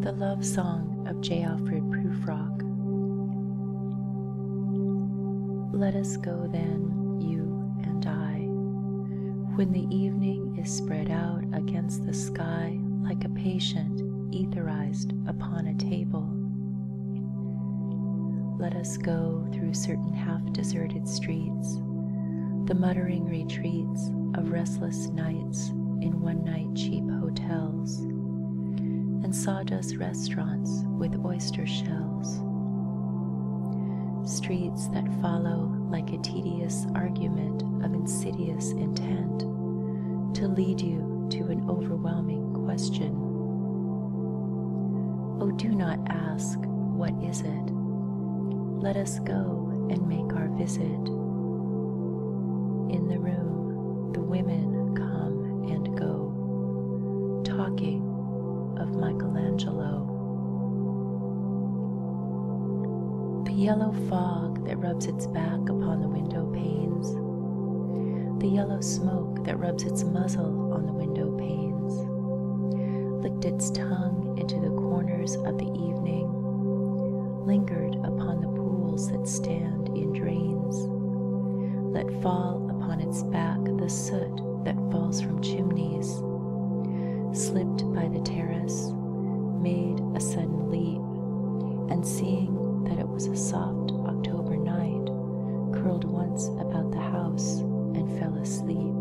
The Love Song of J. Alfred Prufrock. Let us go then, you and I, when the evening is spread out against the sky like a patient etherized upon a table. Let us go through certain half deserted streets, the muttering retreats of restless nights in one night cheap hotels and sawdust restaurants with oyster shells. Streets that follow like a tedious argument of insidious intent to lead you to an overwhelming question. Oh, do not ask, What is it? Let us go and make our visit. In the room, the women come and go, talking of Michelangelo. The yellow fog that rubs its back upon the window panes, the yellow smoke that rubs its muzzle on the window panes flicked its tongue into the corners of the evening, lingered upon the pools that stand in drains, let fall upon its back the soot that falls from chimneys, slipped by the terrace, made a sudden leap, and seeing that it was a soft October night, curled once about the house and fell asleep.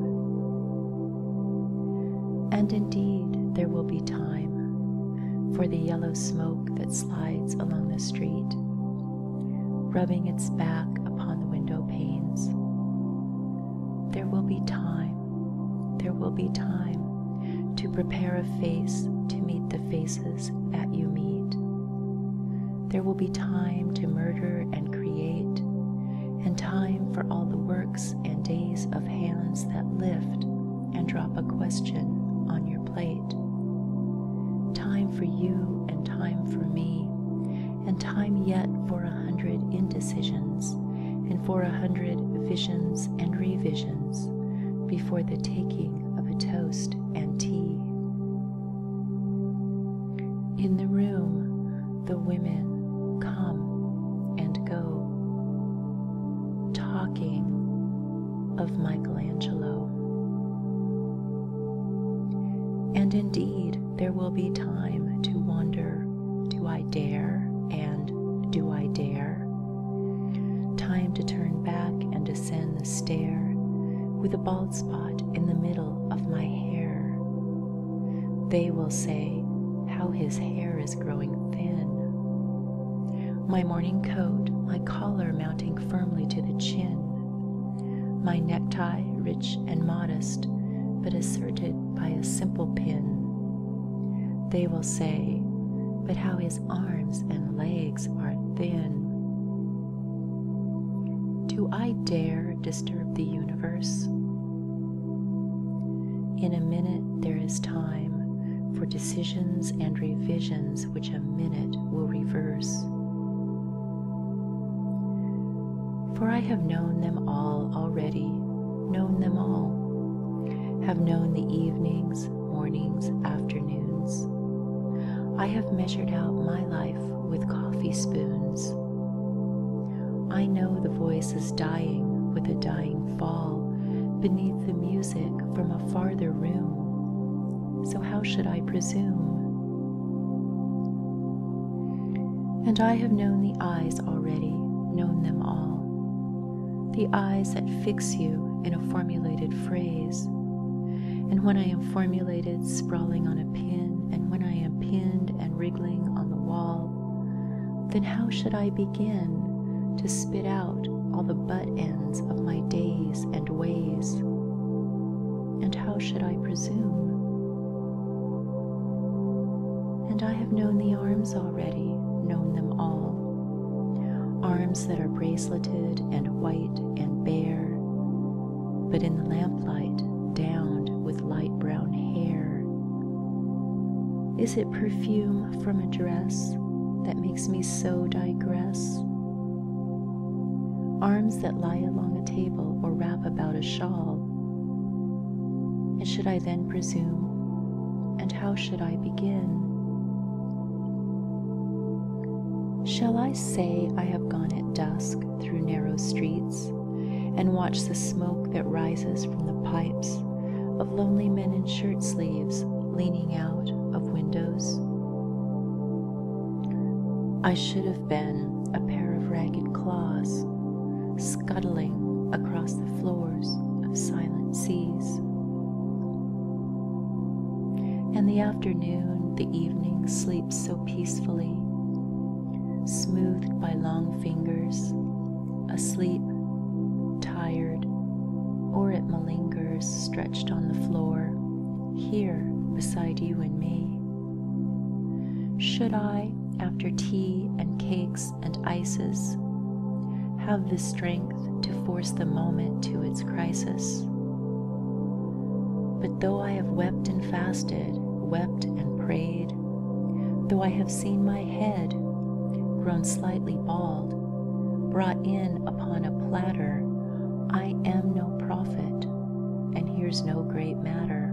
And indeed, there will be time for the yellow smoke that slides along the street, rubbing its back upon the window panes. There will be time, there will be time to prepare a face to meet the faces that you meet. There will be time to murder and create, and time for all the works and days of hands that lift and drop a question on your plate. Time for you and time for me, and time yet for a hundred indecisions, and for a hundred visions and revisions before the taking of a toast and tea. In the room, the women come and go, talking of Michelangelo. And indeed, there will be time to wonder do I dare and do I dare? Time to turn back and descend the stair with a bald spot in the middle of my hair they will say, How his hair is growing thin. My morning coat, my collar mounting firmly to the chin. My necktie, rich and modest, but asserted by a simple pin. They will say, But how his arms and legs are thin. Do I dare disturb the universe? In a minute, there is time for decisions and revisions which a minute will reverse. For I have known them all already, known them all, have known the evenings, mornings, afternoons. I have measured out my life with coffee spoons. I know the voice is dying with a dying fall beneath the music from a farther room, so how should I presume? And I have known the eyes already, known them all, the eyes that fix you in a formulated phrase. And when I am formulated, sprawling on a pin, and when I am pinned and wriggling on the wall, then how should I begin to spit out all the butt ends of my days and ways? And how should I presume? And I have known the arms already, known them all. Arms that are braceleted and white and bare, but in the lamplight, downed light brown hair? Is it perfume from a dress that makes me so digress? Arms that lie along a table or wrap about a shawl? And should I then presume? And how should I begin? Shall I say I have gone at dusk through narrow streets and watch the smoke that rises from the pipes of lonely men in shirt sleeves leaning out of windows. I should have been a pair of ragged claws scuttling across the floors of silent seas. And the afternoon, the evening sleeps so peacefully smoothed by long fingers, asleep, tired, or it malingers stretched on the floor, here beside you and me. Should I, after tea and cakes and ices, have the strength to force the moment to its crisis? But though I have wept and fasted, wept and prayed, though I have seen my head, grown slightly bald, brought in upon a platter, I am no prophet, and here's no great matter.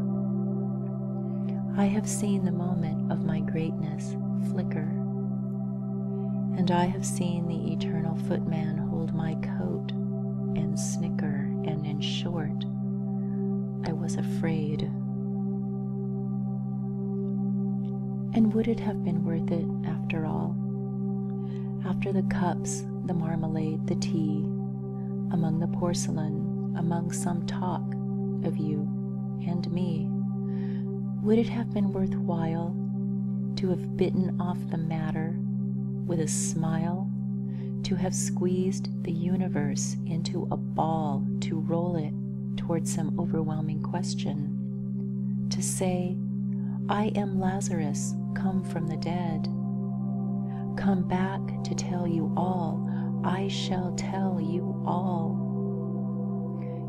I have seen the moment of my greatness flicker, and I have seen the eternal footman hold my coat and snicker, and in short, I was afraid. And would it have been worth it after all? After the cups, the marmalade, the tea, among the porcelain, among some talk of you and me, would it have been worthwhile to have bitten off the matter with a smile to have squeezed the universe into a ball to roll it towards some overwhelming question, to say, I am Lazarus, come from the dead. Come back to tell you all, I shall tell you all.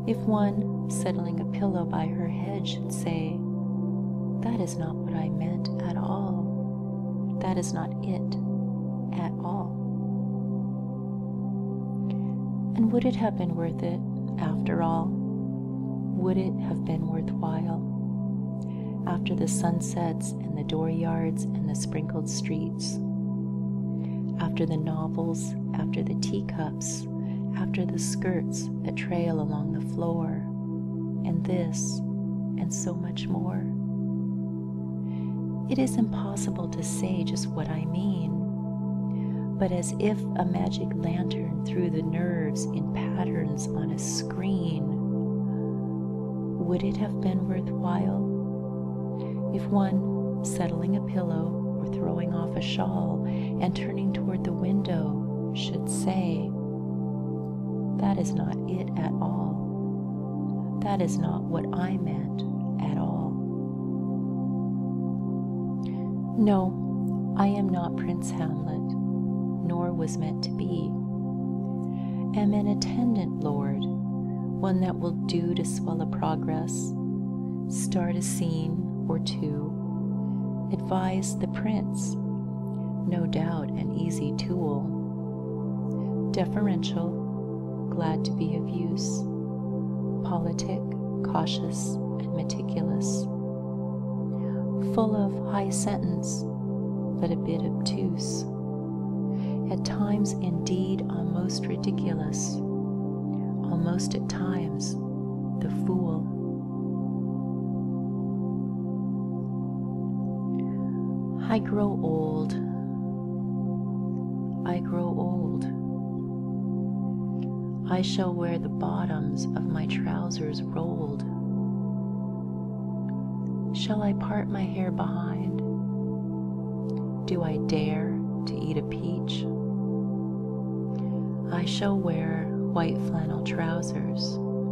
If one, settling a pillow by her head, should say, That is not what I meant at all that is not it at all. And would it have been worth it after all? Would it have been worthwhile? After the sunsets and the dooryards and the sprinkled streets, after the novels, after the teacups, after the skirts that trail along the floor, and this, and so much more. It is impossible to say just what I mean, but as if a magic lantern threw the nerves in patterns on a screen, would it have been worthwhile if one, settling a pillow or throwing off a shawl and turning toward the window, should say, that is not it at all. That is not what I meant at all. No, I am not Prince Hamlet, nor was meant to be. Am an attendant, Lord, one that will do to swell a progress, start a scene or two, advise the prince, no doubt an easy tool deferential, glad to be of use, politic, cautious, and meticulous, full of high sentence, but a bit obtuse, at times indeed almost ridiculous, almost at times the fool. I grow old. I grow old. I shall wear the bottoms of my trousers rolled. Shall I part my hair behind? Do I dare to eat a peach? I shall wear white flannel trousers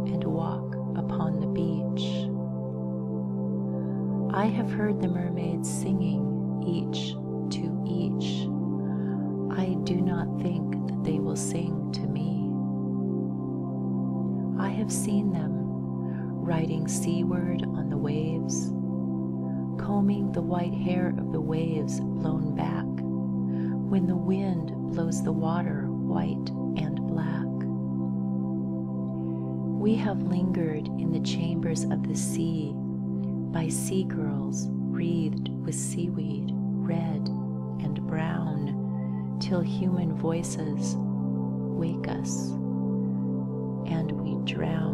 and walk upon the beach. I have heard the mermaids singing each to each. I do not think that they will sing to me. I have seen them riding seaward on the waves, combing the white hair of the waves blown back when the wind blows the water white and black. We have lingered in the chambers of the sea by sea girls wreathed with seaweed, red and brown, till human voices wake us and we drown.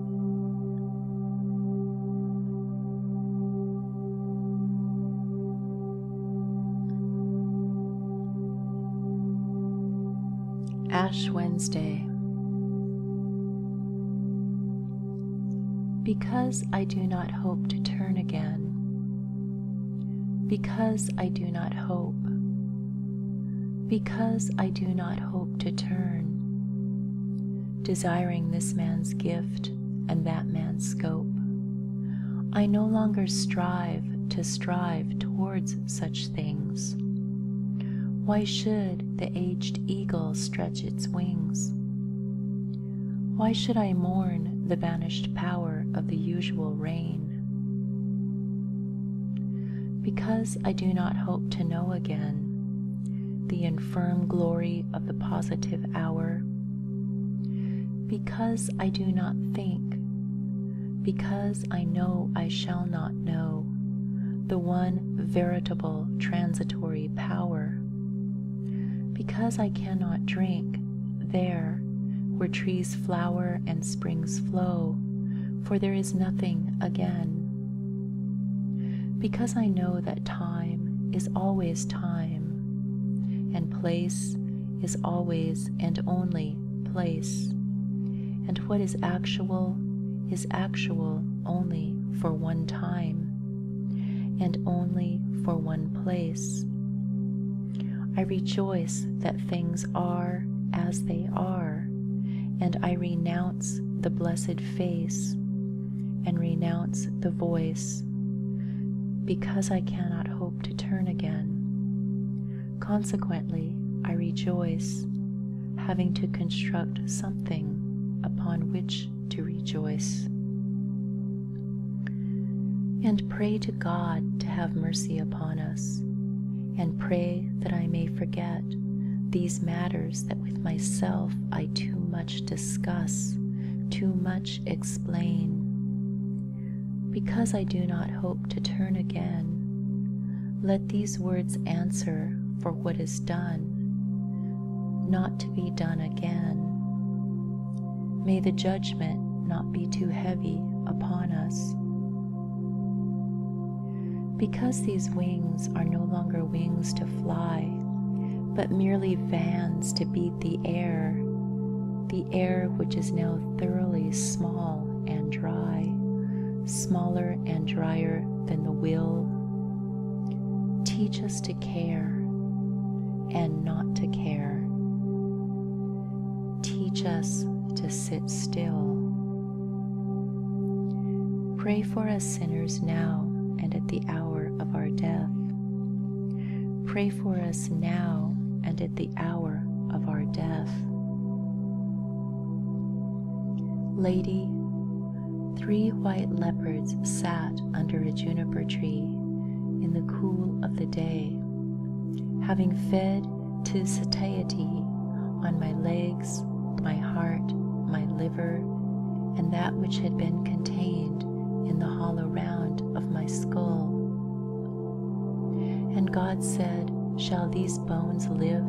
Ash Wednesday. Because I do not hope to turn again. Because I do not hope because I do not hope to turn, desiring this man's gift and that man's scope. I no longer strive to strive towards such things. Why should the aged eagle stretch its wings? Why should I mourn the vanished power of the usual rain? Because I do not hope to know again the infirm glory of the positive hour, because I do not think, because I know I shall not know the one veritable transitory power, because I cannot drink there where trees flower and springs flow, for there is nothing again. Because I know that time is always time, and place is always and only place, and what is actual is actual only for one time, and only for one place. I rejoice that things are as they are, and I renounce the blessed face and renounce the voice because I cannot hope to turn again. Consequently, I rejoice, having to construct something upon which to rejoice. And pray to God to have mercy upon upon us, and pray that I may forget these matters that with myself I too much discuss, too much explain. Because I do not hope to turn again, let these words answer for what is done, not to be done again. May the judgment not be too heavy upon us. Because these wings are no longer wings to fly, but merely vans to beat the air, the air which is now thoroughly small and dry, smaller and drier than the will. Teach us to care and not to care. Teach us to sit still Pray for us sinners now and at the hour of our death. Pray for us now and at the hour of our death. Lady, three white leopards sat under a juniper tree in the cool of the day, having fed to satiety on my legs, my heart, my liver, and that which had been contained in the hollow round of my skull. And God said, Shall these bones live?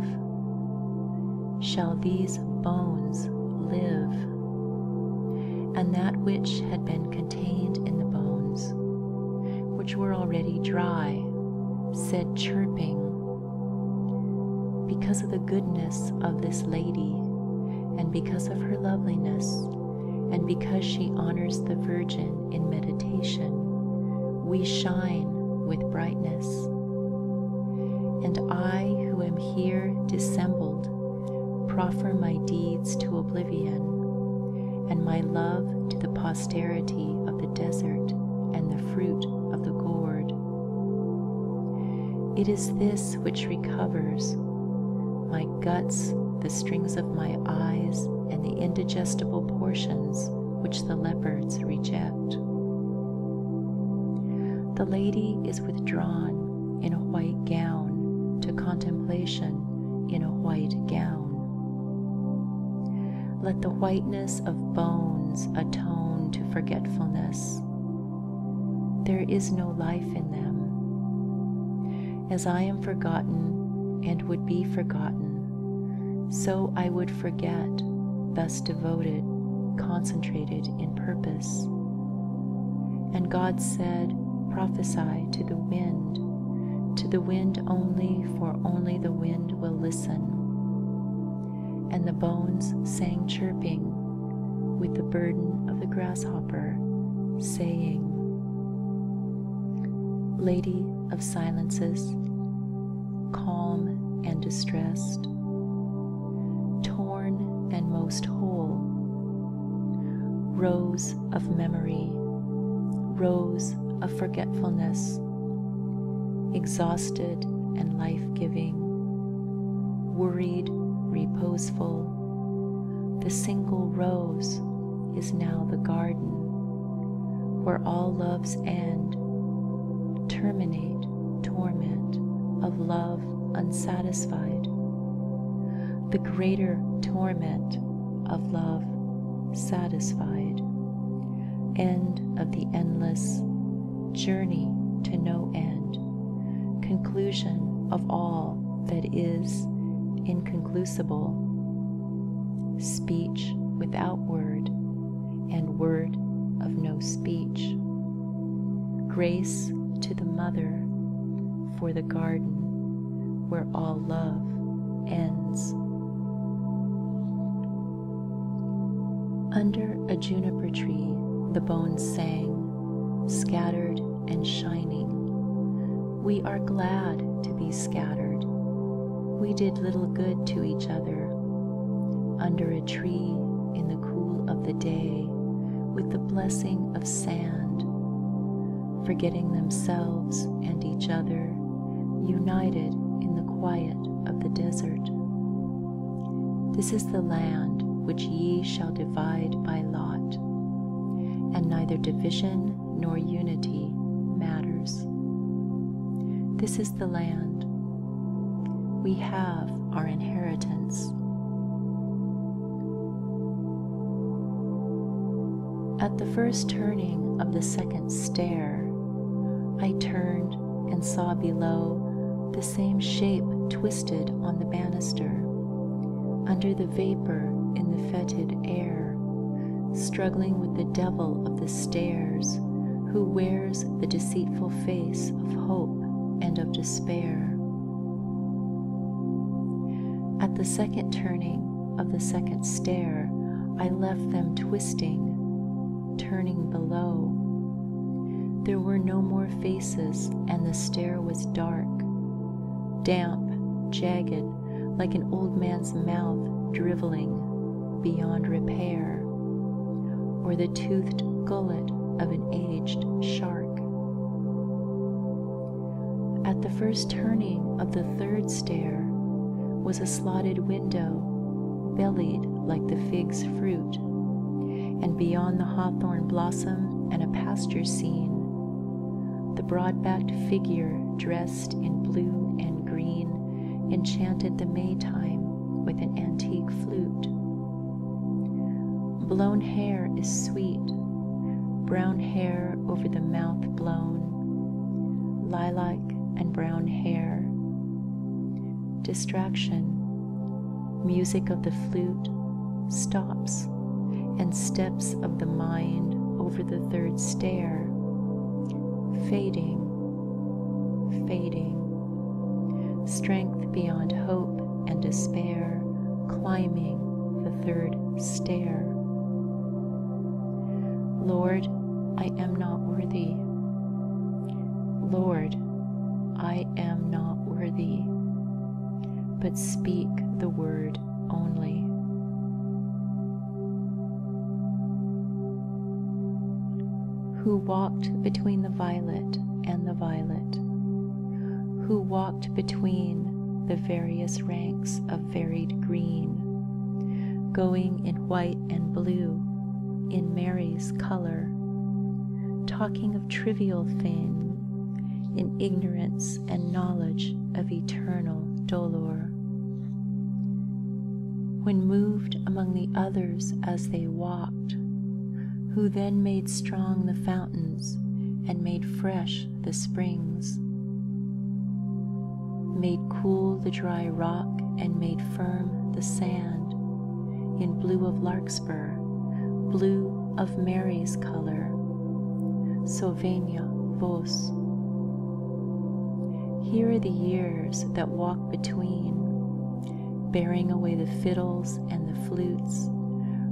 Shall these bones live? And that which had been contained in the bones which were already dry, said chirping, Because of the goodness of this lady, and because of her loveliness, and because she honors the Virgin in meditation, we shine with brightness. And I, who am here dissembled, proffer my deeds to oblivion, and my love to the austerity of the desert and the fruit of the gourd. It is this which recovers my guts, the strings of my eyes, and the indigestible portions which the leopards reject. The lady is withdrawn in a white gown to contemplation in a white gown. Let the whiteness of bones atone to forgetfulness. There is no life in them. As I am forgotten and would be forgotten, so I would forget, thus devoted, concentrated in purpose. And God said, Prophesy to the wind, to the wind only, for only the wind will listen. And the bones sang chirping with the burden of the grasshopper, saying, Lady of silences, calm and distressed, torn and most whole, rose of memory, rose of forgetfulness, exhausted and life giving, worried, reposeful. The single rose is now the garden where all loves end, terminate torment of love unsatisfied. The greater torment of love satisfied. End of the endless journey to no end, conclusion of all that is inconclusible, speech without word, and word of no speech. Grace to the Mother for the garden where all love ends. Under a juniper tree, the bones sang, scattered and shining. We are glad to be scattered. We did little good to each other. Under a tree, in the cool of the day, with the blessing of sand forgetting themselves and each other, united in the quiet of the desert. This is the land which ye shall divide by lot, and neither division nor unity matters. This is the land. We have our inheritance. At the first turning of the second stair, I turned and saw below the same shape twisted on the banister, under the vapor in the fetid air, struggling with the devil of the stairs, who wears the deceitful face of hope and of despair. At the second turning, of the second stair, I left them twisting, turning below. There were no more faces, and the stair was dark, damp, jagged, like an old man's mouth driveling beyond repair, or the toothed gullet of an aged shark. At the first turning of the third stair was a slotted window, bellied like the fig's fruit, and beyond the hawthorn blossom and a pasture scene, the broad-backed figure dressed in blue and green enchanted the may time with an antique flute. Blown hair is sweet, brown hair over the mouth blown lilac and brown hair, distraction, music of the flute stops, and steps of the mind over the third stair, fading, fading, strength beyond hope and despair, climbing the third stair. Lord, I am not worthy. Lord, I am not worthy, but speak the word only. Who walked between the violet and the violet, who walked between the various ranks of varied green, going in white and blue, in Mary's color, talking of trivial things in ignorance and knowledge of eternal dolor. When moved among the others as they walked, who then made strong the fountains and made fresh the springs, made cool the dry rock, and made firm the sand in blue of larkspur, blue of Mary's color, Sylvania vos. Here are the years that walk between, bearing away the fiddles and the flutes,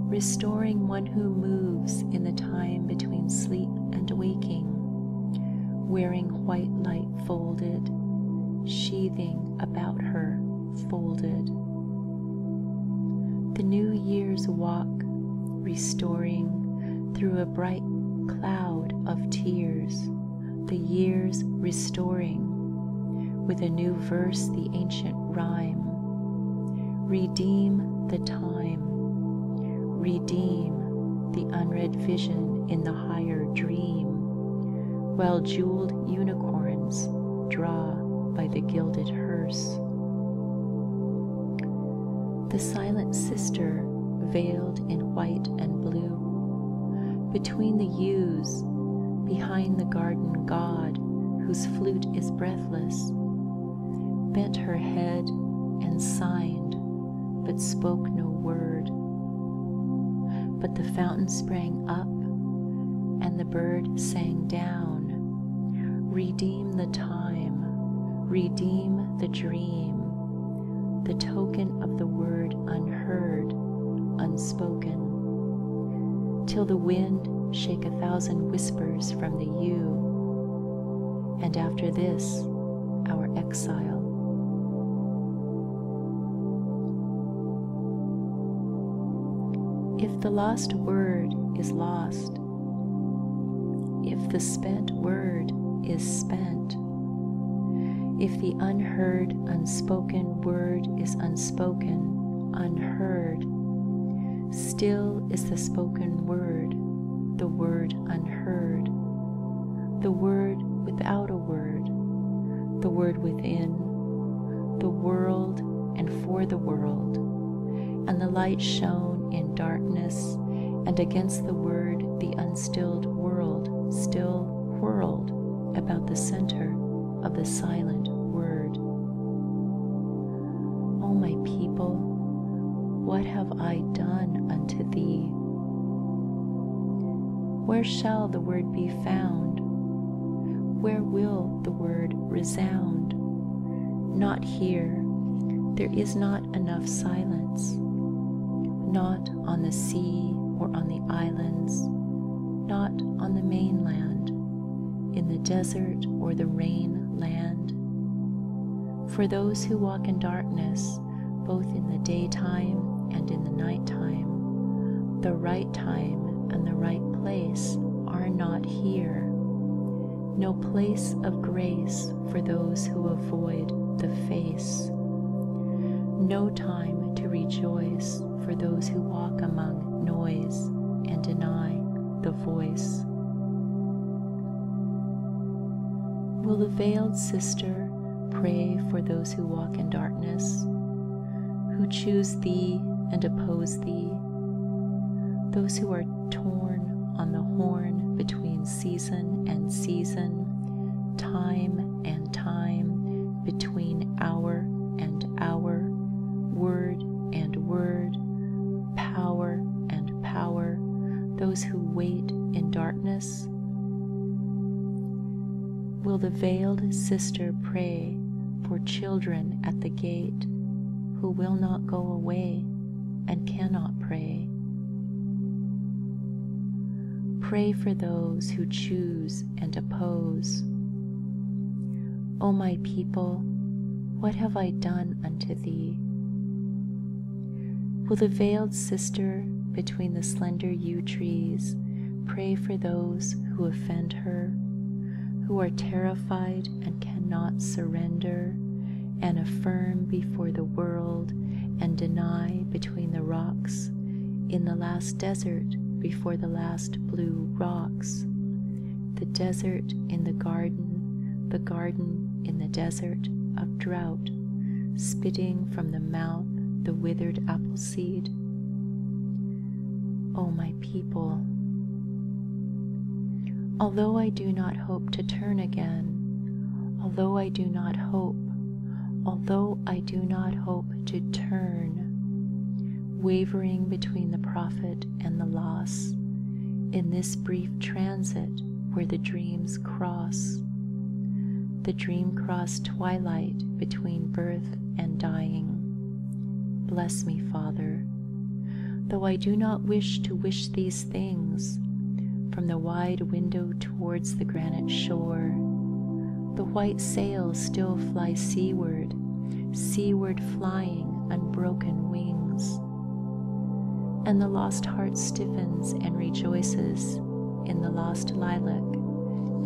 restoring one who moves in the time between sleep and waking, wearing white light folded, sheathing about her folded. The new year's walk, restoring through a bright cloud of tears, the year's restoring, with a new verse the ancient rhyme Redeem the time. Redeem the unread vision in the higher dream, while jeweled unicorns draw by the gilded hearse. The silent sister veiled in white and blue, between the yews, behind the garden god whose flute is breathless, bent her head and signed, but spoke no word. But the fountain sprang up, and the bird sang down. Redeem the time, redeem the dream, the token of the word unheard, unspoken. Till the wind shake a thousand whispers from the yew, and after this, our exile. If the lost word is lost, if the spent word is spent, if the unheard, unspoken word is unspoken, unheard, still is the spoken word, the word unheard, the word without a word, the word within, the world and for the world. And the light shone in darkness, and against the word the unstilled world still whirled about the center of the silent word. O oh, my people, what have I done unto thee? Where shall the word be found? Where will the word resound? Not here, there is not enough silence, not on the sea or on the islands, not on the mainland in the desert or the rain land. For those who walk in darkness, both in the daytime and in the nighttime, the right time and the right place are not here. No place of grace for those who avoid the face. No time to rejoice for those who walk among noise and deny the the voice. Will the veiled sister pray for those who walk in darkness, who choose thee and oppose thee, those who are torn on the horn between season and season, time and time, between hour and hour, word and word, power and power, those who wait in darkness? Will the veiled sister pray for children at the gate who will not go away and cannot pray? Pray for those who choose and oppose. O my people, what have I done unto thee? Will the veiled sister between the slender yew trees pray for those who offend her, who are terrified and cannot surrender, and affirm before the world and deny between the rocks, in the last desert before the last blue rocks, the desert in the garden, the garden in the desert of drought, spitting from the mouth the withered apple seed. O oh, my people, although I do not hope to turn again, although I do not hope, although I do not hope to turn, wavering between the prophet and the loss in this brief transit where the dreams cross. The dream crossed twilight between birth and dying. Bless me, Father, though I do not wish to wish these things from the wide window towards the granite shore. The white sails still fly seaward seaward flying unbroken wings. And the lost heart stiffens and rejoices in the lost lilac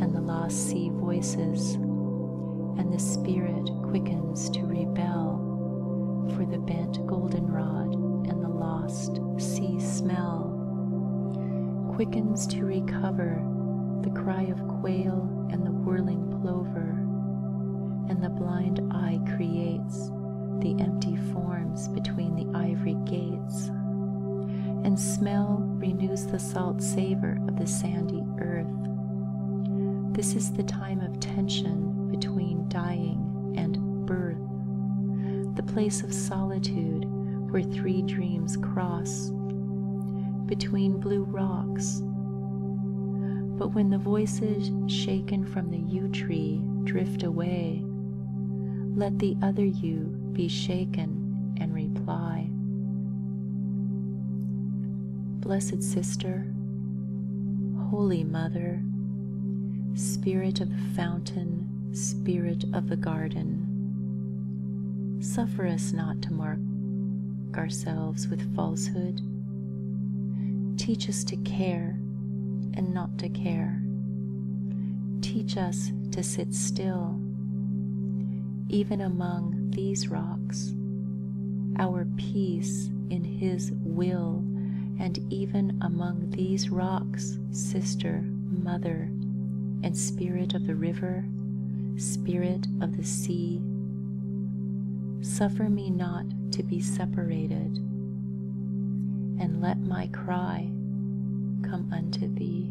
and the lost sea voices, and the spirit quickens to rebel for the bent goldenrod and the lost sea smell, quickens to recover the cry of quail and the whirling plover, and the blind eye creates the empty forms between the ivory gates, and smell renews the salt savor of the sandy earth. This is the time of tension between dying and birth, the place of solitude where three dreams cross, between blue rocks but when the voices shaken from the yew tree drift away, let the other you be shaken and reply. Blessed Sister, Holy Mother, Spirit of the fountain, Spirit of the garden, suffer us not to mar ourselves with falsehood. Teach us to care and not to care. Teach us to sit still, even among these rocks, our peace in His will, and even among these rocks, sister, mother, and spirit of the river, spirit of the sea, Suffer me not to be separated, and let my cry come unto thee.